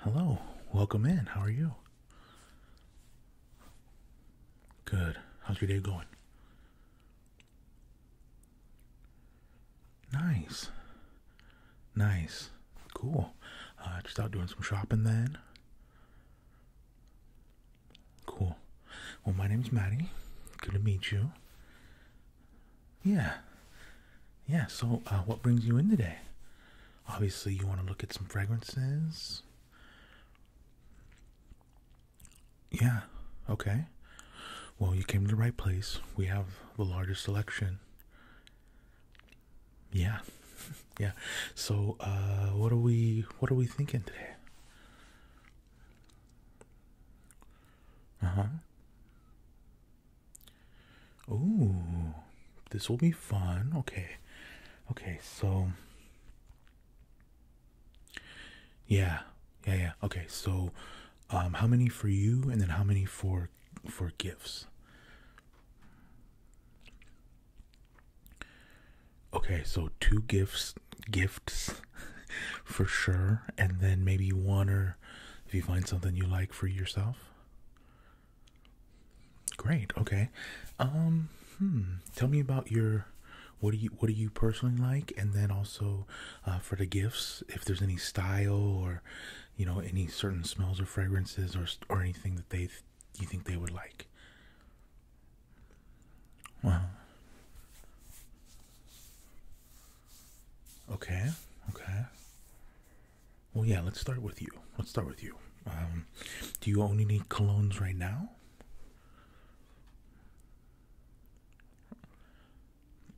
Hello, welcome in. How are you? Good. How's your day going? Nice. Nice. Cool. Uh, just out doing some shopping then. Cool. Well, my name's Maddie. Good to meet you. Yeah yeah, so uh, what brings you in today? Obviously, you want to look at some fragrances. Yeah, okay. Well, you came to the right place. We have the largest selection. Yeah. yeah. So, uh, what are we what are we thinking today? Uh-huh. Oh, this will be fun. Okay. Okay, so. Yeah. Yeah, yeah. Okay, so um how many for you and then how many for for gifts? Okay, so two gifts gifts for sure and then maybe one or if you find something you like for yourself. Great. Okay. Um. Hmm, tell me about your. What do you What do you personally like? And then also, uh, for the gifts, if there's any style or, you know, any certain smells or fragrances or or anything that they you think they would like. Wow. Okay. Okay. Well, yeah, let's start with you. Let's start with you. Um, do you only need colognes right now?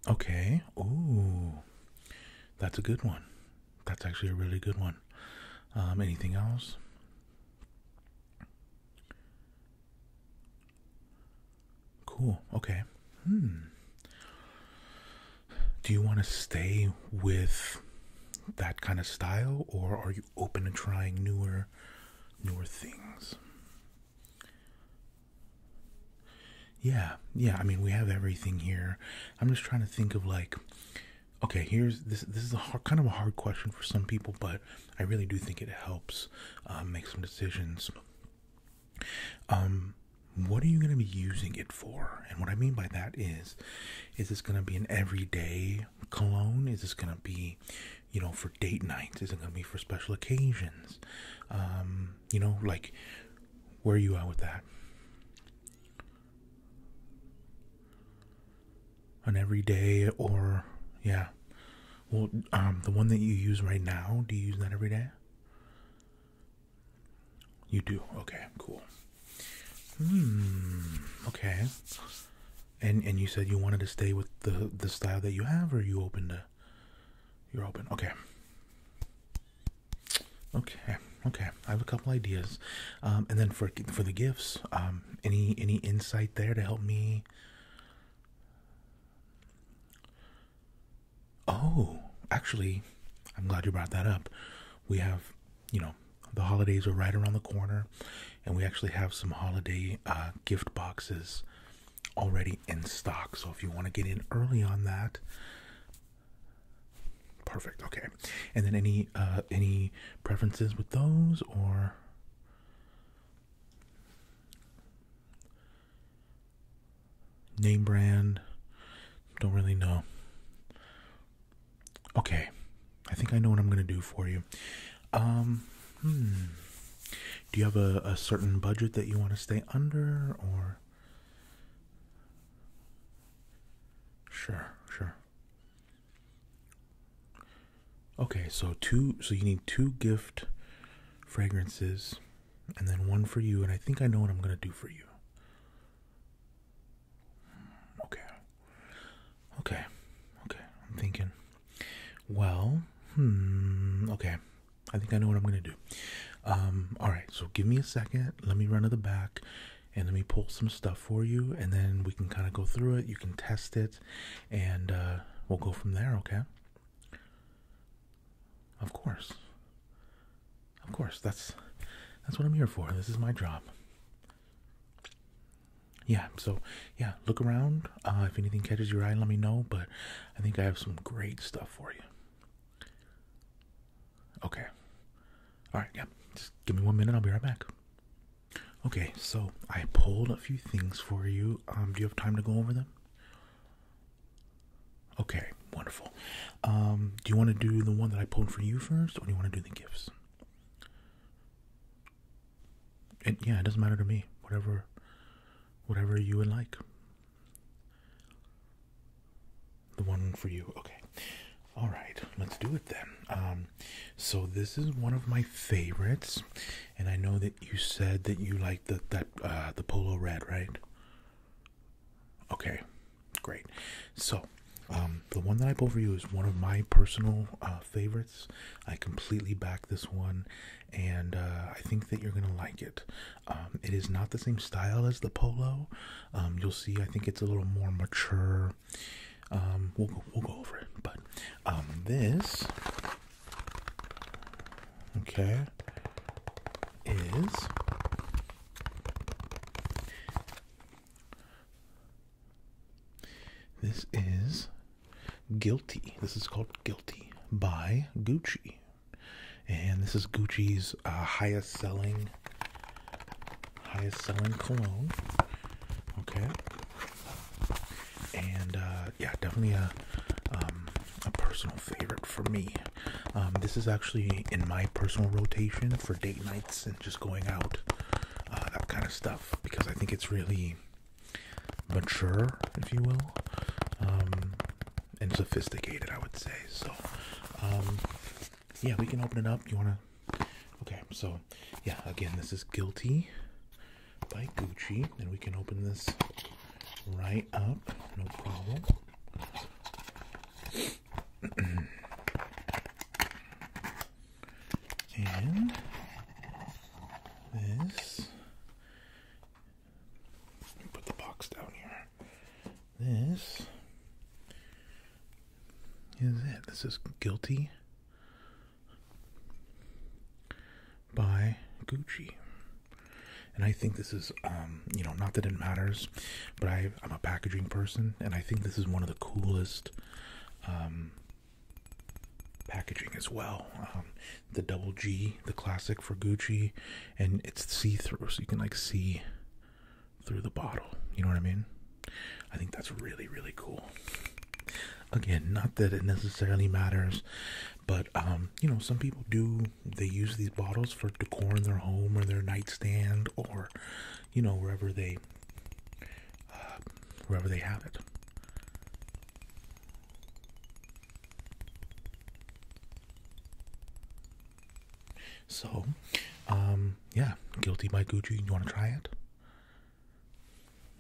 Okay. Ooh, that's a good one. That's actually a really good one. Um, anything else? Cool. Okay. Hmm do you want to stay with that kind of style or are you open to trying newer newer things yeah yeah i mean we have everything here i'm just trying to think of like okay here's this this is a hard, kind of a hard question for some people but i really do think it helps uh, make some decisions um what are you going to be using it for and what i mean by that is is this going to be an everyday cologne is this going to be you know for date nights is it going to be for special occasions um, you know like where are you at with that an everyday or yeah well um, the one that you use right now do you use that every day you do. Okay, cool. Hmm. Okay. And and you said you wanted to stay with the the style that you have, or you open to? You're open. Okay. Okay. Okay. I have a couple ideas, um, and then for for the gifts, um, any any insight there to help me? Oh, actually, I'm glad you brought that up. We have you know, the holidays are right around the corner, and we actually have some holiday uh, gift boxes already in stock. So if you want to get in early on that, perfect. Okay, and then any uh, any preferences with those or? Name brand, don't really know. Okay, I think I know what I'm gonna do for you. Um, hmm. Do you have a, a certain budget that you want to stay under, or? Sure, sure. Okay, so two. So you need two gift fragrances, and then one for you. And I think I know what I'm gonna do for you. Okay. Okay. Okay. I'm thinking. Well, hmm, Okay. I think I know what I'm going to do. Um, all right. So give me a second. Let me run to the back and let me pull some stuff for you. And then we can kind of go through it. You can test it and uh, we'll go from there. Okay. Of course. Of course, that's that's what I'm here for. This is my job. Yeah, so yeah, look around. Uh, if anything catches your eye, let me know. But I think I have some great stuff for you. Okay. All right, yeah. Just give me one minute. I'll be right back. Okay, so I pulled a few things for you. Um, do you have time to go over them? Okay wonderful. Um, do you want to do the one that I pulled for you first, or do you want to do the gifts? It, yeah, it doesn't matter to me. Whatever, whatever you would like. The one for you. Okay. All right. Let's do it then. Um, so this is one of my favorites, and I know that you said that you like the that uh, the polo red, right? Okay, great. So, um, the one that I have for you is one of my personal uh, favorites. I completely back this one, and uh, I think that you're gonna like it. Um, it is not the same style as the polo. Um, you'll see. I think it's a little more mature. we'll go, over it. But this, okay, is this is Guilty. This is called Guilty by Gucci. And this is Gucci's uh, highest selling highest selling cologne. Okay. And uh, yeah, definitely um, a personal favorite for me. Um, this is actually in my personal rotation for date nights and just going out, uh, that kind of stuff, because I think it's really mature, if you will, um, and sophisticated, I would say. So, um, yeah, we can open it up. You want to? Okay, so yeah, again, this is Guilty by Gucci, and we can open this right up, no problem and this put the box down here. This is it. This is guilty by Gucci. And I think this is, um, you know, not that it matters but I, am a packaging person, and I think this is one of the coolest um, packaging as well. Um, the double G, the classic for Gucci, and it's see through, so you can like see through the bottle. You know what I mean? I think that's really, really cool. Again, not that it necessarily matters, but um, you know, some people do. They use these bottles for decor in their home or their nightstand or you know, wherever they, uh, wherever they have it. So, um, yeah, guilty by Gucci. You want to try it?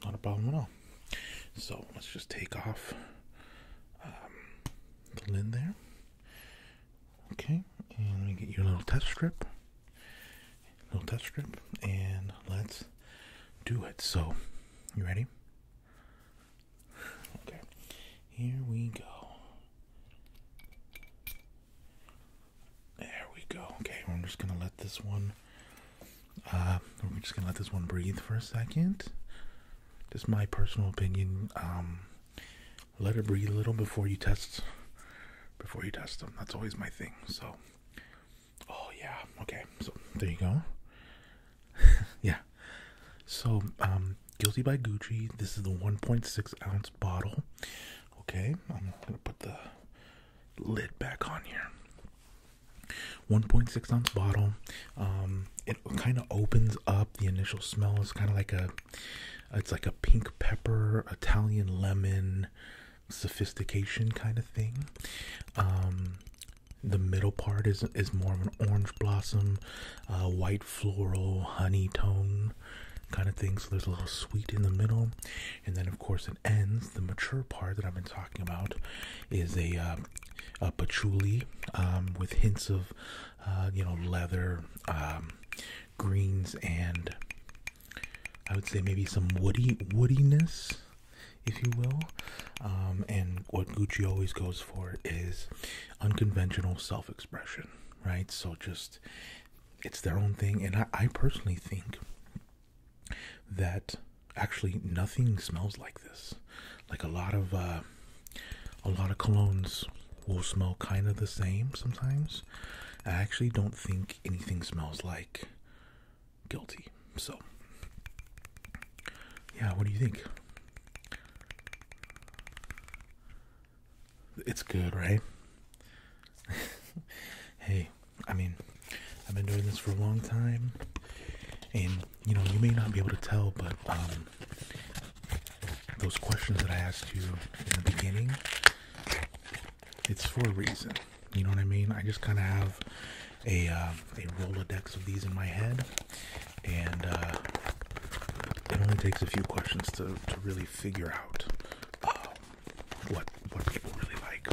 Not a problem at all. So let's just take off um, the lid there. Okay, and let me get you a little test strip. Little test strip, and let's do it. So, you ready? Okay, here we go. There we go. Okay, I'm just gonna let this one. Uh, we're just gonna let this one breathe for a second. Just my personal opinion. Um, let her breathe a little before you test before you test them. That's always my thing. So oh yeah, okay. So there you go. yeah. So um, Guilty by Gucci. This is the 1.6 ounce bottle. Okay, I'm gonna put the lid back on here. 1.6 ounce bottle. Um, it kind of opens up. The initial smell is kind of like a it's like a pink pepper, Italian lemon, sophistication kind of thing. Um, the middle part is is more of an orange blossom, uh, white floral, honey tone kind of thing. So there's a little sweet in the middle, and then of course it ends. The mature part that I've been talking about is a uh, a patchouli um, with hints of uh, you know leather. Um, greens and I would say maybe some woody woodiness, if you will. Um, and what Gucci always goes for is unconventional self-expression, right? So just it's their own thing, and I, personally think that actually nothing smells like this. Like a lot of uh, a lot of colognes will smell kind of the same sometimes, I actually don't think anything smells like guilty. So, yeah, what do you think? It's good, right? hey, I mean, I've been doing this for a long time, and you know, you may not be able to tell, but um, those questions that I asked you in the beginning it's for a reason. You know what I mean? I just kind of have a um, a Rolodex of these in my head, and uh, it only takes a few questions to to really figure out um, what what people really like.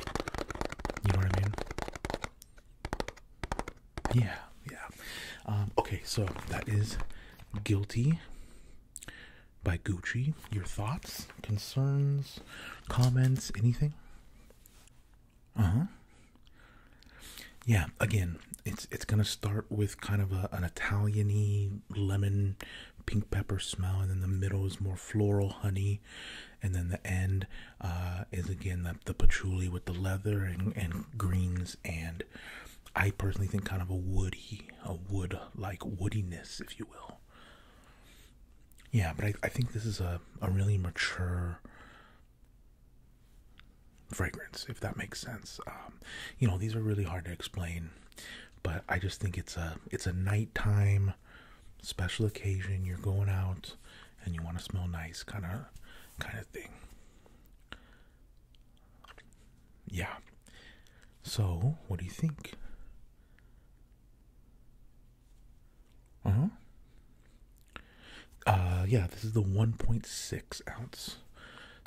You know what I mean? Yeah, yeah. Um, okay, so that is guilty by Gucci. Your thoughts, concerns, comments, anything? Uh huh. Yeah. Again, it's it's gonna start with kind of an Italiany lemon, pink pepper smell, and then the middle is more floral honey, and then the end uh, is again the, the patchouli with the leather and, and greens and. I personally think kind of a woody a wood like woodiness, if you will. Yeah, but I, I think this is a, a really mature fragrance, if that makes sense. Um, you know, these are really hard to explain, but I just think it's a it's a nighttime special occasion. You're going out and you want to smell nice, kind of kind of thing. Yeah. So, what do you think? Uh huh. Uh, yeah, this is the 1.6 ounce.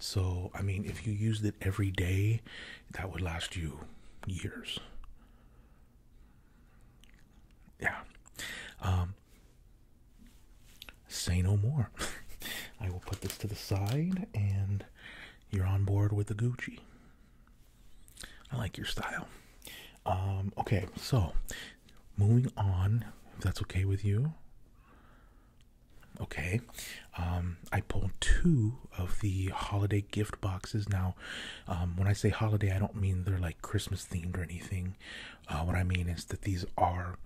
So, I mean, if you used it every day, that would last you years. Yeah. Um, say no more. I will put this to the side and you're on board with the Gucci. I like your style. Um, okay, so moving on, if that's okay with you. Okay, um, I pulled two of the holiday gift boxes. Now, um, when I say holiday, I don't mean they're like Christmas themed or anything. Uh, what I mean is that these are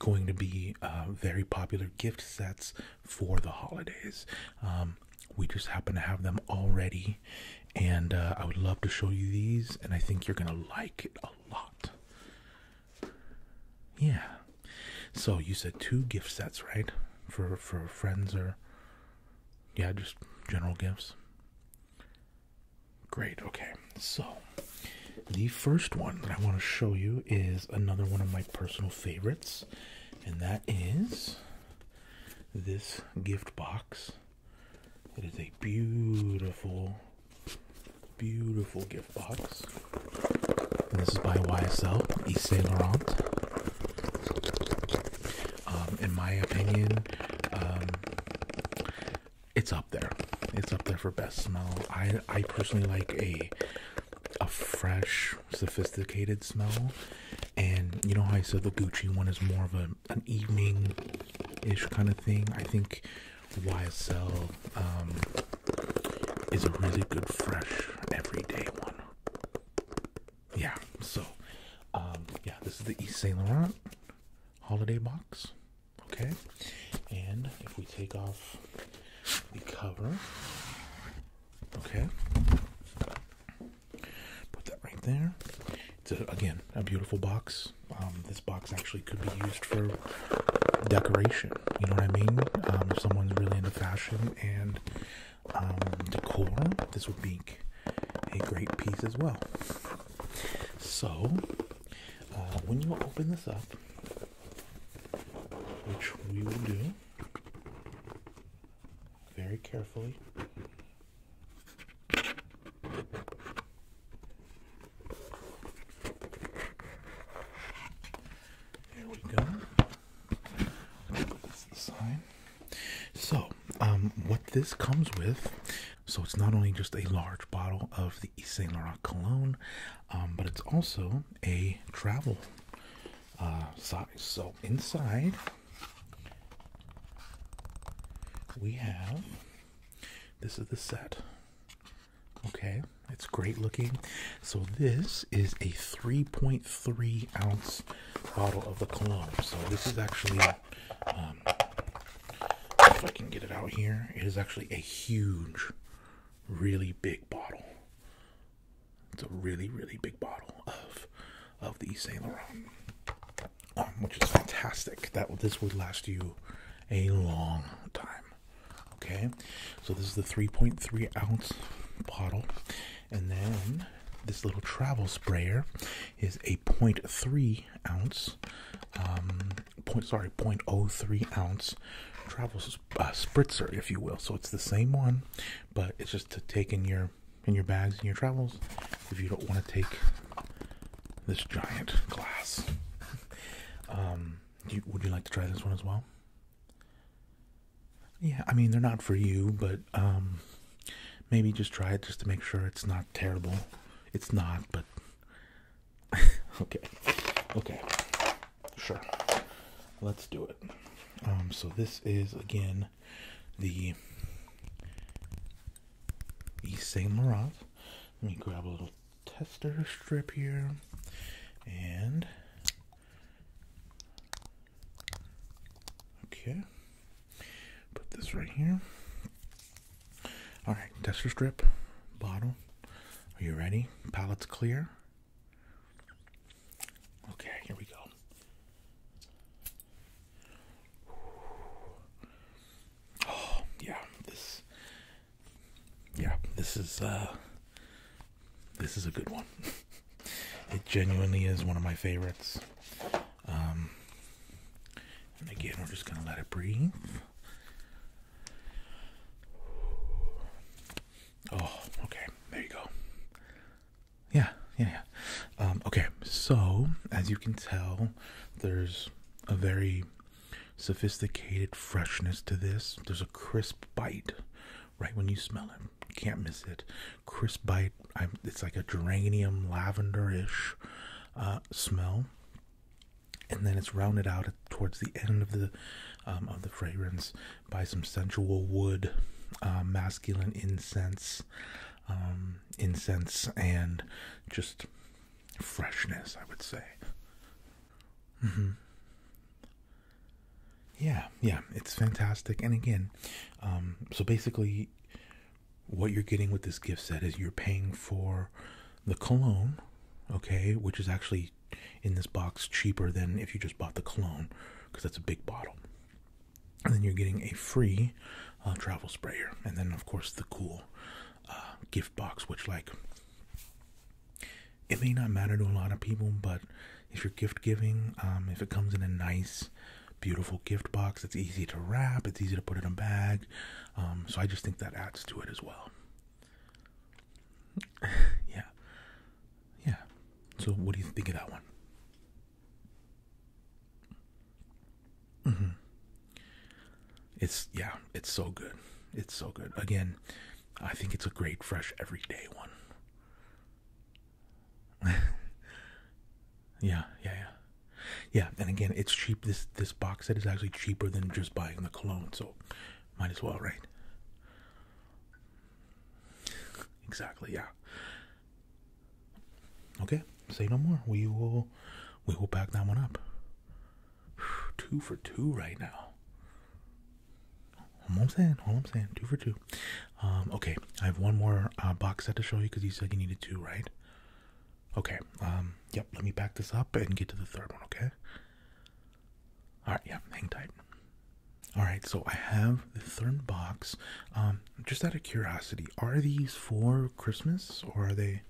going to be uh, very popular gift sets for the holidays. Um, we just happen to have them already, and uh, I would love to show you these, and I think you're gonna like it a lot. Yeah. So you said two gift sets, right? For for friends or yeah, just general gifts. Great. Okay. So the first one that I want to show you is another one of my personal favorites and that is this gift box. It is a beautiful, beautiful gift box. And this is by YSL, Yves Saint Laurent. Um, in my opinion, um, it's up there. It's up there for best smell. I I personally like a a fresh sophisticated smell. And you know how I said the Gucci one is more of a, an evening ish kind of thing? I think YSL um, is a really good, fresh, everyday one. Yeah, so, um, yeah, this is the East Saint Laurent holiday box. Okay, and if we take off the cover, Okay. Put that right there. It's again a beautiful box. Um, this box actually could be used for decoration. You know what I mean? Um, if someone's really into fashion and um, decor, this would be a great piece as well. So, uh, when you open this up, which we will do, very carefully. There we go. That's the sign. So, um, what this comes with, so it's not only just a large bottle of the Yves Saint Laurent cologne, um, but it's also a travel uh, size. So inside we have this is the set. Okay, it's great looking. So this is a 3.3 ounce bottle of the cologne. So this is actually, um, if I can get it out here, it is actually a huge, really big bottle. It's a really, really big bottle of of the Saint Laurent, um, which is fantastic. That this would last you a long time. Okay, so this is the 3.3 ounce bottle, and then this little travel sprayer is a 0.3 ounce, um, point sorry 0.03 ounce travel sprayer spritzer, if you will. So it's the same one, but it's just to take in your in your bags and your travels if you don't want to take this giant glass. Um, would you like to try this one as well? Yeah, I mean they're not for you, but um, maybe just try it just to make sure it's not terrible. It's not, but okay, okay. Sure. Let's do it. Um, so this is again the E. Saint Laurent. Let me grab a little tester strip here and okay put this right here all right tester strip bottle are you ready palette's clear Okay, here we go. Oh, yeah, this Yeah, this is uh this is a good one. it genuinely is one of my favorites. Um, and again, we're just going to let it breathe. Oh, okay. There you go. Yeah, yeah, yeah. Um, okay, so as you can tell, there's a very sophisticated freshness to this. There's a crisp bite right when you smell it. Can't miss it. Crisp bite. it's like a geranium lavender-ish uh, smell, and then it's rounded out towards the end of the um, of the fragrance by some sensual wood, uh, masculine incense, um, incense, and just freshness, I would say. Mm-hmm. Yeah, yeah, it's fantastic. And again, um, so basically, what you're getting with this gift set is you're paying for the cologne, okay, which is actually in this box cheaper than if you just bought the cologne because that's a big bottle. And then you're getting a free uh, travel sprayer, and then of course the cool uh, gift box, which like it may not matter to a lot of people, but if you're gift giving, um, if it comes in a nice, beautiful gift box, it's easy to wrap, it's easy to put in a bag. Um, so I just think that adds to it as well. yeah. Yeah. So, what do you think of that one? Mm-hmm. It's yeah, it's so good. It's so good. Again, I think it's a great fresh everyday one. yeah, yeah, yeah. Yeah, and again, it's cheap. This this box set is actually cheaper than just buying the cologne, so might as well, right? Exactly, yeah. Okay, say no more. We will we will pack that one up. Two for two right now. All I'm saying, all I'm saying, two for two. Um, okay, I have one more uh, box set to show you because you said you needed two, right? Okay, um, yep, let me pack this up and get to the third one, okay? All right, yeah, hang tight. All right, so I have the third box. Um, just out of curiosity, are these for Christmas or are they?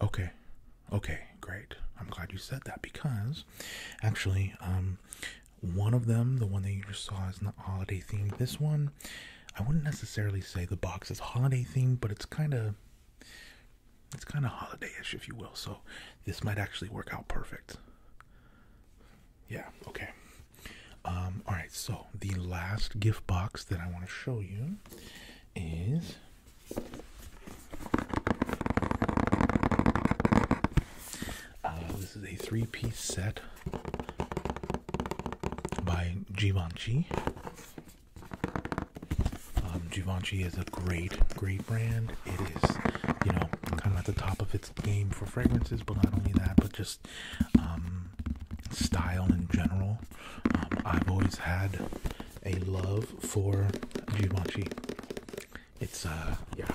Okay, okay, great. I'm glad you said that because actually, um, one of them, the one that you just saw, is not holiday themed. This one, I wouldn't necessarily say the box is holiday themed, but it's kind of it's kind of holiday-ish, if you will. So this might actually work out perfect. Yeah. Okay. Um, all right. So the last gift box that I want to show you is. Uh, this is a three-piece set by Givenchy. Um, is a great, great brand. It is, you know, kind of at the top of its game for fragrances, but not only that, but just um, style in general. Um, I've always had a love for Givenchy. It's, a uh, yeah,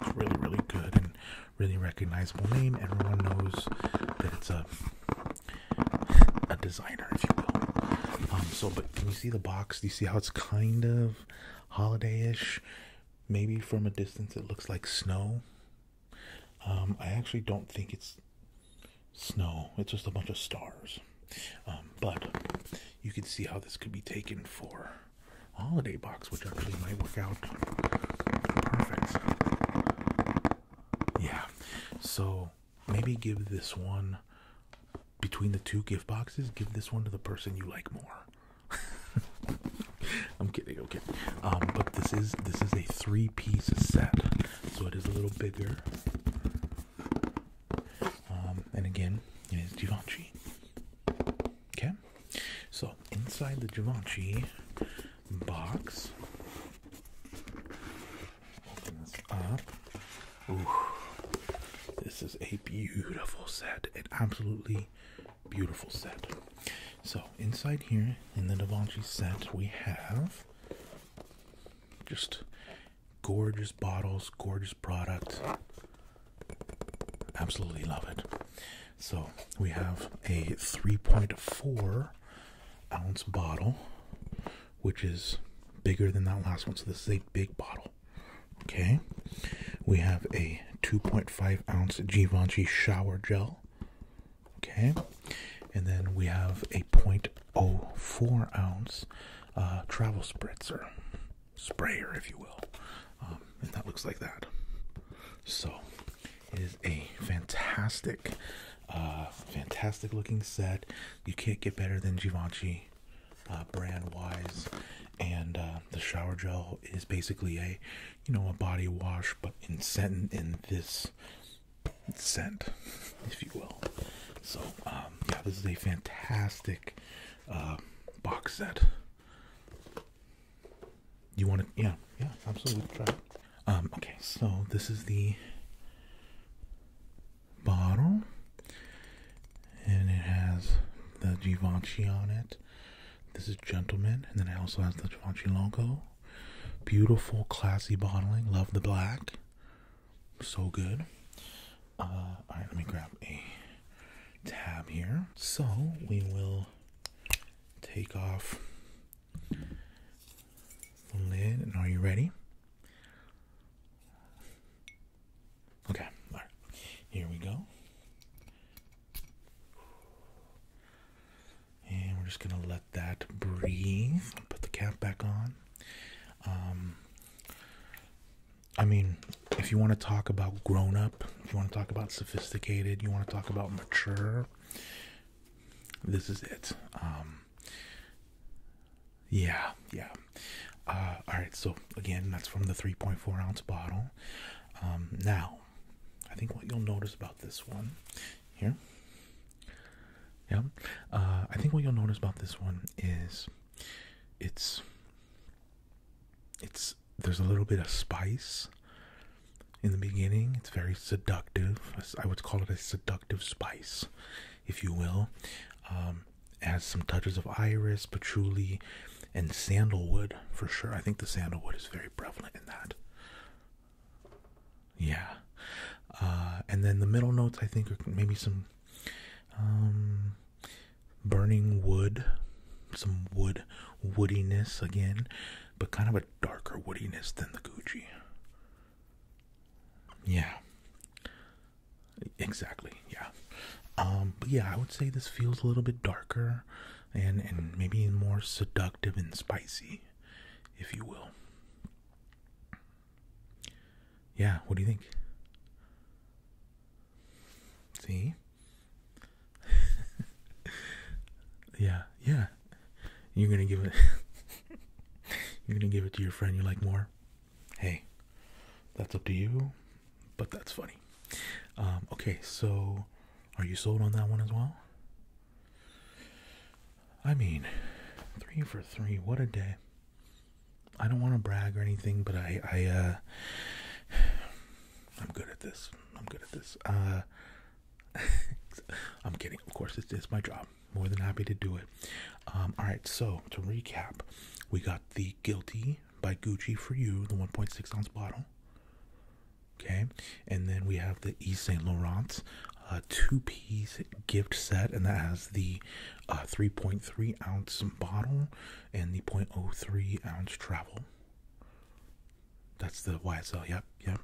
it's really, really good and really recognizable name. Everyone knows that it's a a designer, if you will. Um, so, but can you see the box? Do you see how it's kind of holiday-ish. Maybe from a distance it looks like snow. Um, I actually don't think it's snow. It's just a bunch of stars. Um, but you can see how this could be taken for a holiday box, which actually might work out perfect. Yeah. So maybe give this one between the two gift boxes, give this one to the person you like more. I'm kidding, okay. Um, but this is this is a three-piece set, so it is a little bigger. Um, and again, it is Givenchy. Okay, so inside the Givenchy box, open up this is a beautiful set, an absolutely beautiful set. So inside here in the Da Vinci set, we have just gorgeous bottles, gorgeous product. Absolutely love it. So we have a 3.4 ounce bottle, which is bigger than that last one. So this is a big bottle. Okay, we have a 2.5 ounce Givenchy shower gel. Okay, and then we have a 0.04 ounce uh, travel spritzer, sprayer, if you will. Um, and that looks like that. So, it is a fantastic, uh, fantastic looking set. You can't get better than Givenchy. Uh, brand wise and uh, the shower gel is basically a you know a body wash but in scent in this scent if you will so um, yeah this is a fantastic uh, box set you want to yeah yeah absolutely um, okay so this is the bottle, and it has the Givenchy on it. This is Gentleman, and then it also has the Givenchy logo. Beautiful, classy bottling. Love the black. So good. Uh, all right, let me grab a tab here. So we will take off the lid. And are you ready? Okay, all right. Here we go. And we're just going to let that breathe. Put the cap back on. Um, I mean, if you want to talk about grown up, if you want to talk about sophisticated, you want to talk about mature, this is it. Um, yeah, yeah. Uh, all right, so again, that's from the 3.4 ounce bottle. Um, now, I think what you'll notice about this one here, yeah, uh, I think what you'll notice about this one is it's it's there's a little bit of spice in the beginning. It's very seductive. I would call it a seductive spice, if you will. Um, has some touches of iris, patchouli, and sandalwood for sure. I think the sandalwood is very prevalent in that. Yeah. Uh, and then the middle notes, I think, are maybe some um, burning wood, some wood woodiness again, but kind of a darker woodiness than the Gucci. Yeah. Exactly. Yeah. Um, but yeah, I would say this feels a little bit darker, and and maybe more seductive and spicy, if you will. Yeah. What do you think? See. yeah. Yeah. You're gonna give it. you're gonna give it to your friend you like more hey, that's up to you, but that's funny. Um, okay, so are you sold on that one as well? I mean, three for three, what a day. I don't want to brag or anything, but I, I, uh, I'm good at this. I'm good at this. Uh, I'm kidding. Of course, it's, it's my job. More than happy to do it. Um, all right. So to recap, we got the guilty by Gucci for you, the 1.6 ounce bottle. Okay, and then we have the Yves Saint Laurent uh, two piece gift set, and that has the 3.3 uh, ounce bottle and the 0.03 ounce travel. That's the YSL, yep, yep.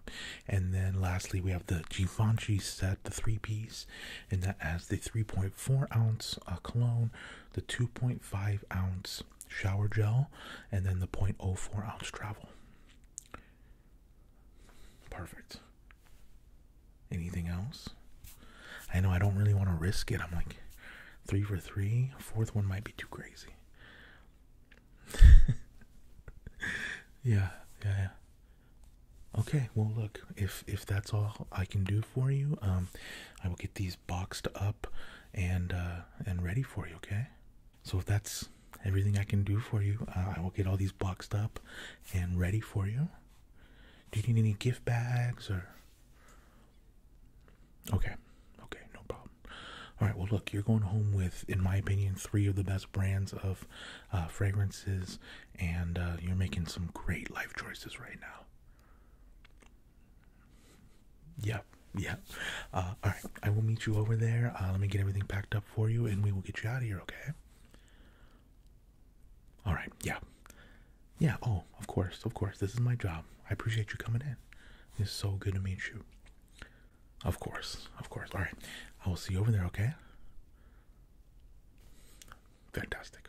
And then lastly, we have the Givenchy set, the three piece, and that has the 3.4 ounce uh, cologne, the 2.5 ounce shower gel and then the 0.04 ounce travel. Perfect. Anything else? I know I don't really want to risk it. I'm like three for three. Fourth one might be too crazy. yeah, yeah, yeah. Okay, well look, if if that's all I can do for you. Um, I will get these boxed up and uh, and ready for you. Okay. So if that's everything I can do for you, uh, I will get all these boxed up and ready for you. Do you need any gift bags or? Okay. Okay. No problem. All right. Well, look, you're going home with, in my opinion, three of the best brands of uh, fragrances, and you're making some great life choices right now. Yeah, yeah. Uh, all right, I will meet you over there. Uh, let me get everything packed up for you, and we will get you out of here. Okay. All right. Yeah. Yeah. Oh, of course, of course. This is my job. I appreciate you coming in. It's so good to meet you. Of course, of course. All right, I will see you over there. Okay. Fantastic.